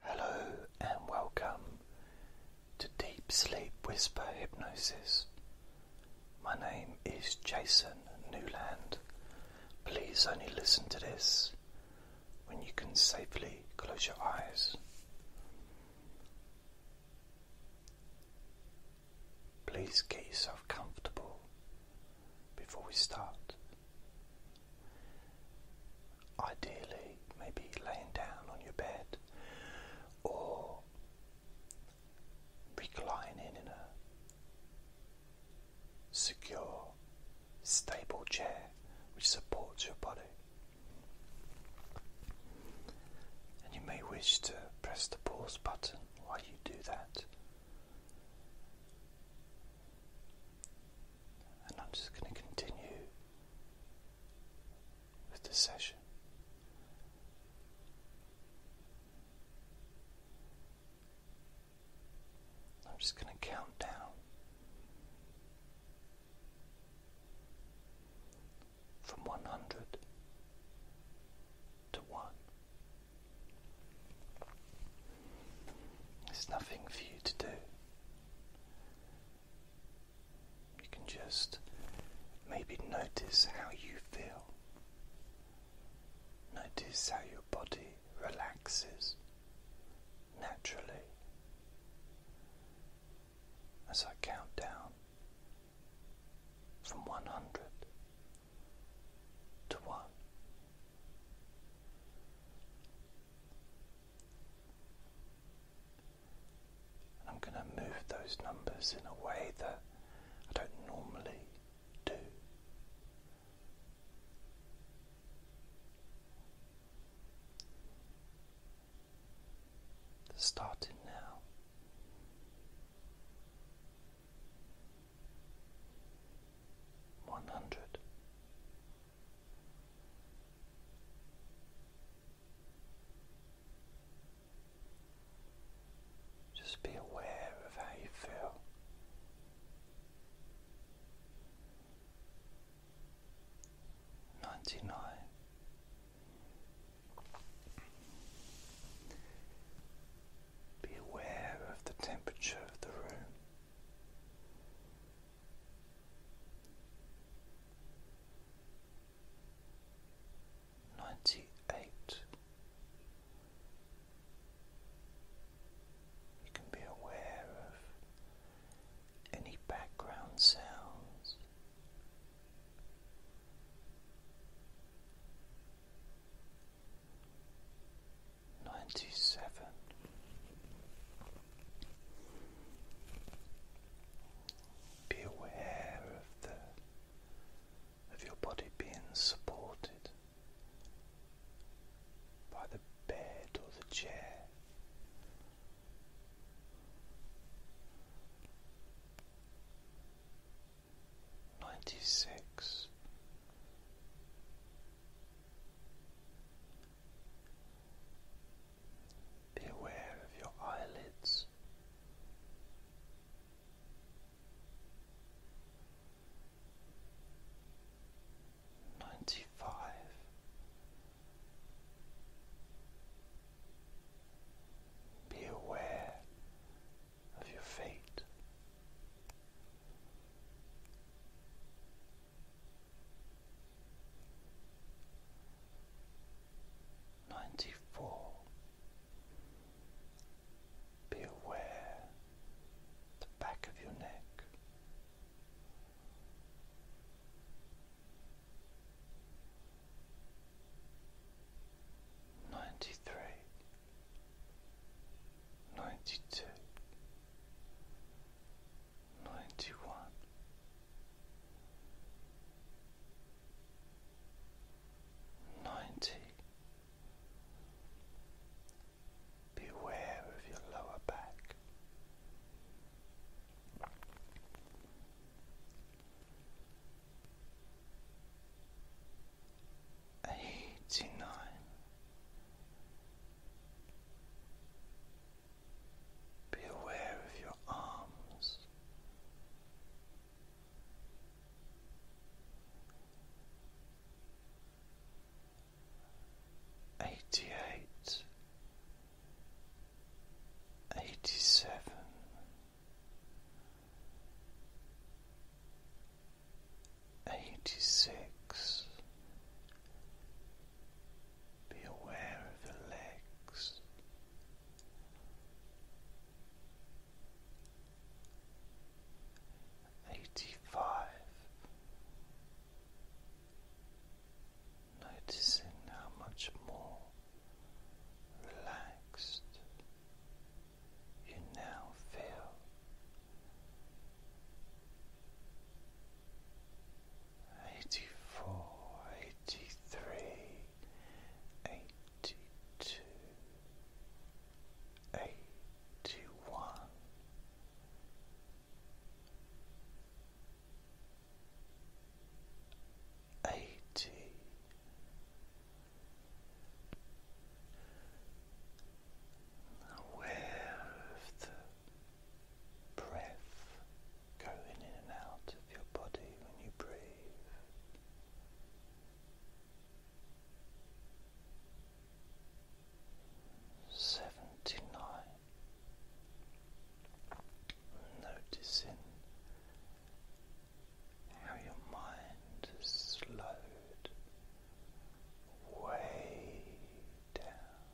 Hello and welcome to Deep Sleep Whisper Hypnosis. My name is Jason Newland. Please only listen to this when you can safely close your eyes. Please get yourself comfortable before we start. Ideally, maybe laying down on your bed or reclining in a secure, stable chair which supports your body. And you may wish to press the pause button while you do that and I'm just going to continue with the session. I'm just going to count down from 100 to 1. There's nothing for you to do. You can just maybe notice how you feel. Notice how your body relaxes naturally as I count down from 100 to 1. I'm going to move those numbers in a way that I don't normally do. Starting now. One hundred, just be aware of how you feel. Ninety nine. Be aware of the temperature of the room. Ninety eight. You can be aware of any background sounds ninety seven. Be aware of the of your body being supported by the bed or the chair. Ninety six be aware of your eyelids. Ninety five. Be aware of your feet. Ninety four. Be aware the back of your neck. Ninety three, ninety two, ninety one. Ninety. Beware of your lower back. Eighty nine. Be aware of your arms. Eighty eight, eighty seven, eighty six, be aware of the legs. Eighty five. Noticing how much more relaxed you now feel eighty four, eighty three, eighty two, eighty one. Eighty aware of the breath going in and out of your body when you breathe. Seventy nine, noticing how your mind has slowed way down.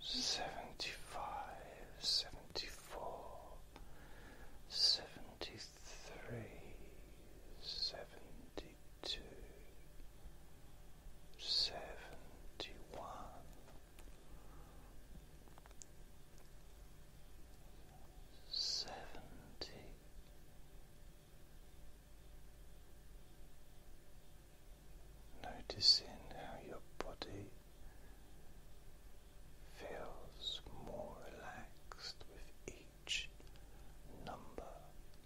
Seventy five, seventy four, seventy three, seventy two, seventy one. Seventy Noticing how your body feels more relaxed with each number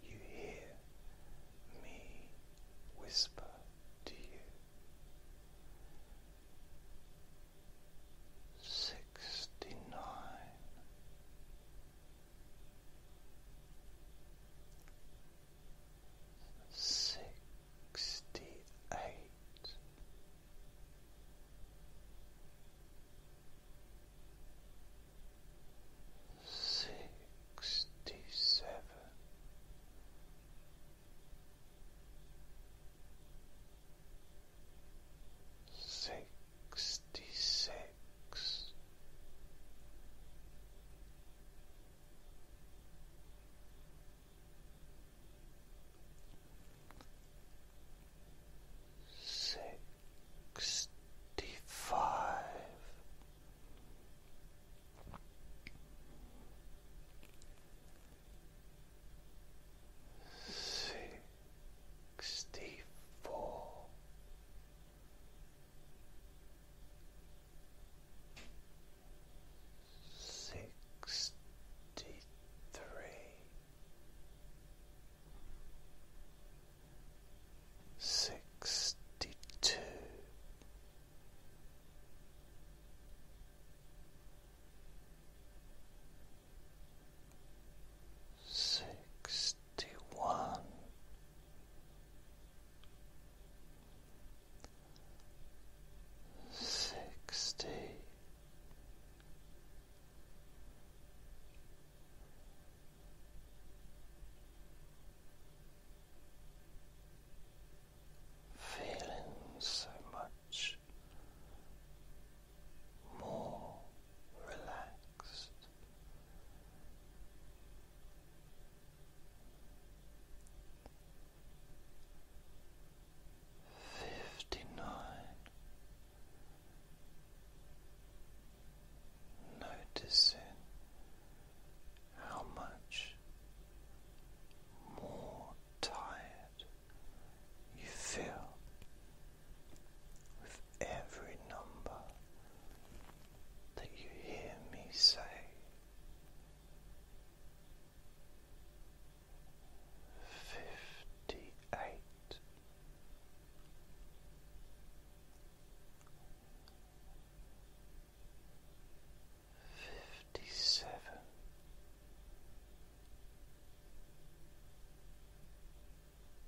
you hear me whisper to you. See sixty nine. Sixty eight, sixty seven, sixty sixty six. Sixty five, sixty sixty four sixty three sixty two sixty feeling so much more relaxed. Fifty nine, noticing how much more tired you feel every number that you hear me say. Fifty eight, fifty seven,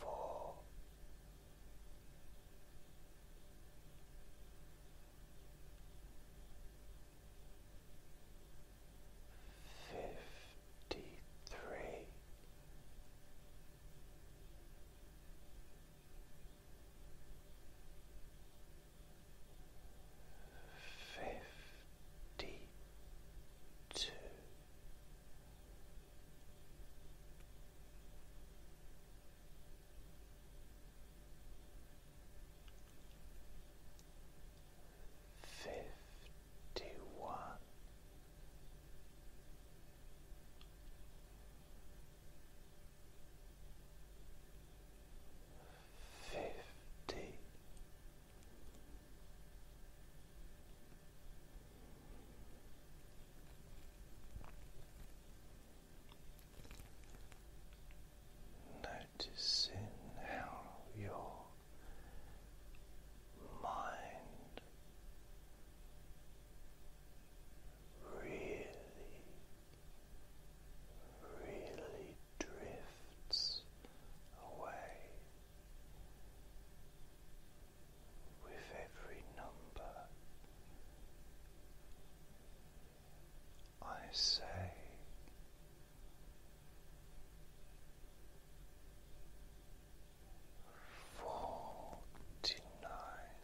four, fifty three. Fifty two, fifty one. Fifty Noticing how your mind really, really drifts away with every number I say. Forty nine,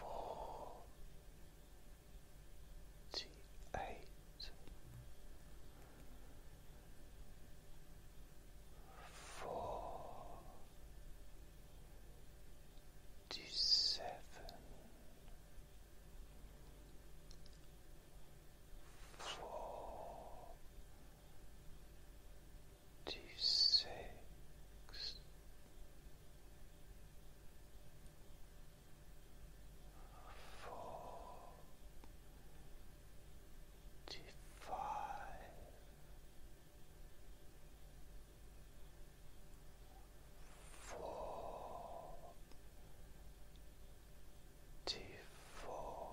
forty eight, four, seven, four, six forty-five, forty-four, forty-three.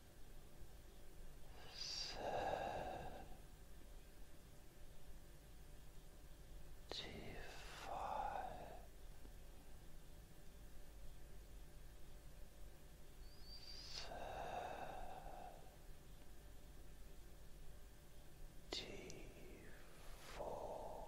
Thirty four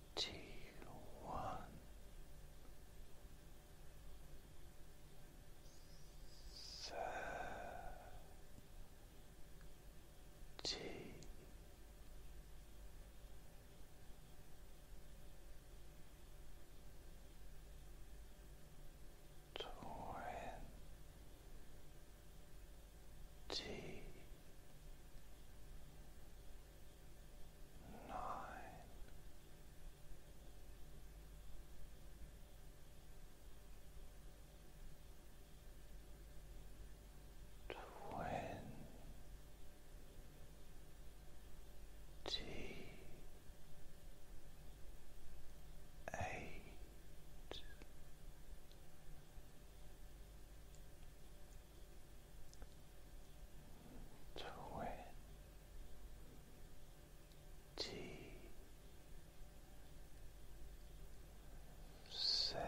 one. Thirty twenty nine, twenty eight twenty seven.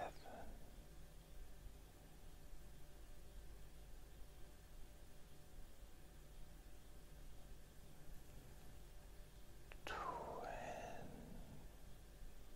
Twenty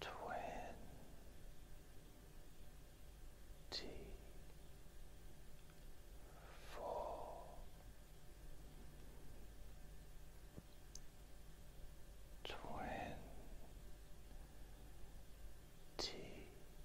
Twenty four. Twenty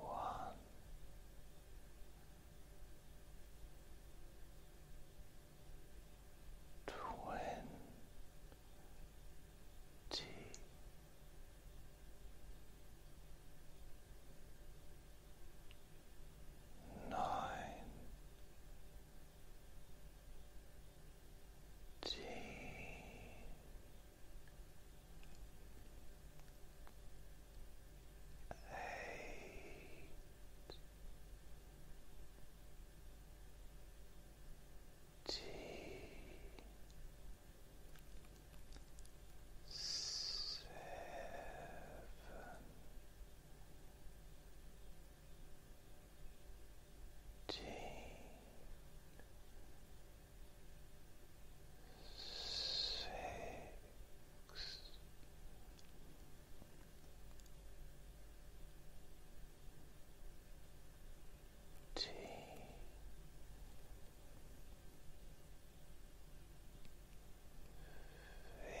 one. Twenty nine ten T seven T six, T. Fifth,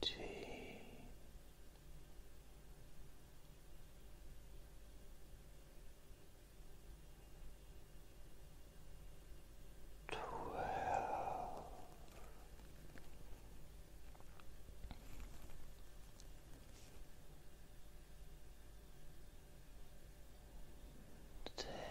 Twelve. Ten.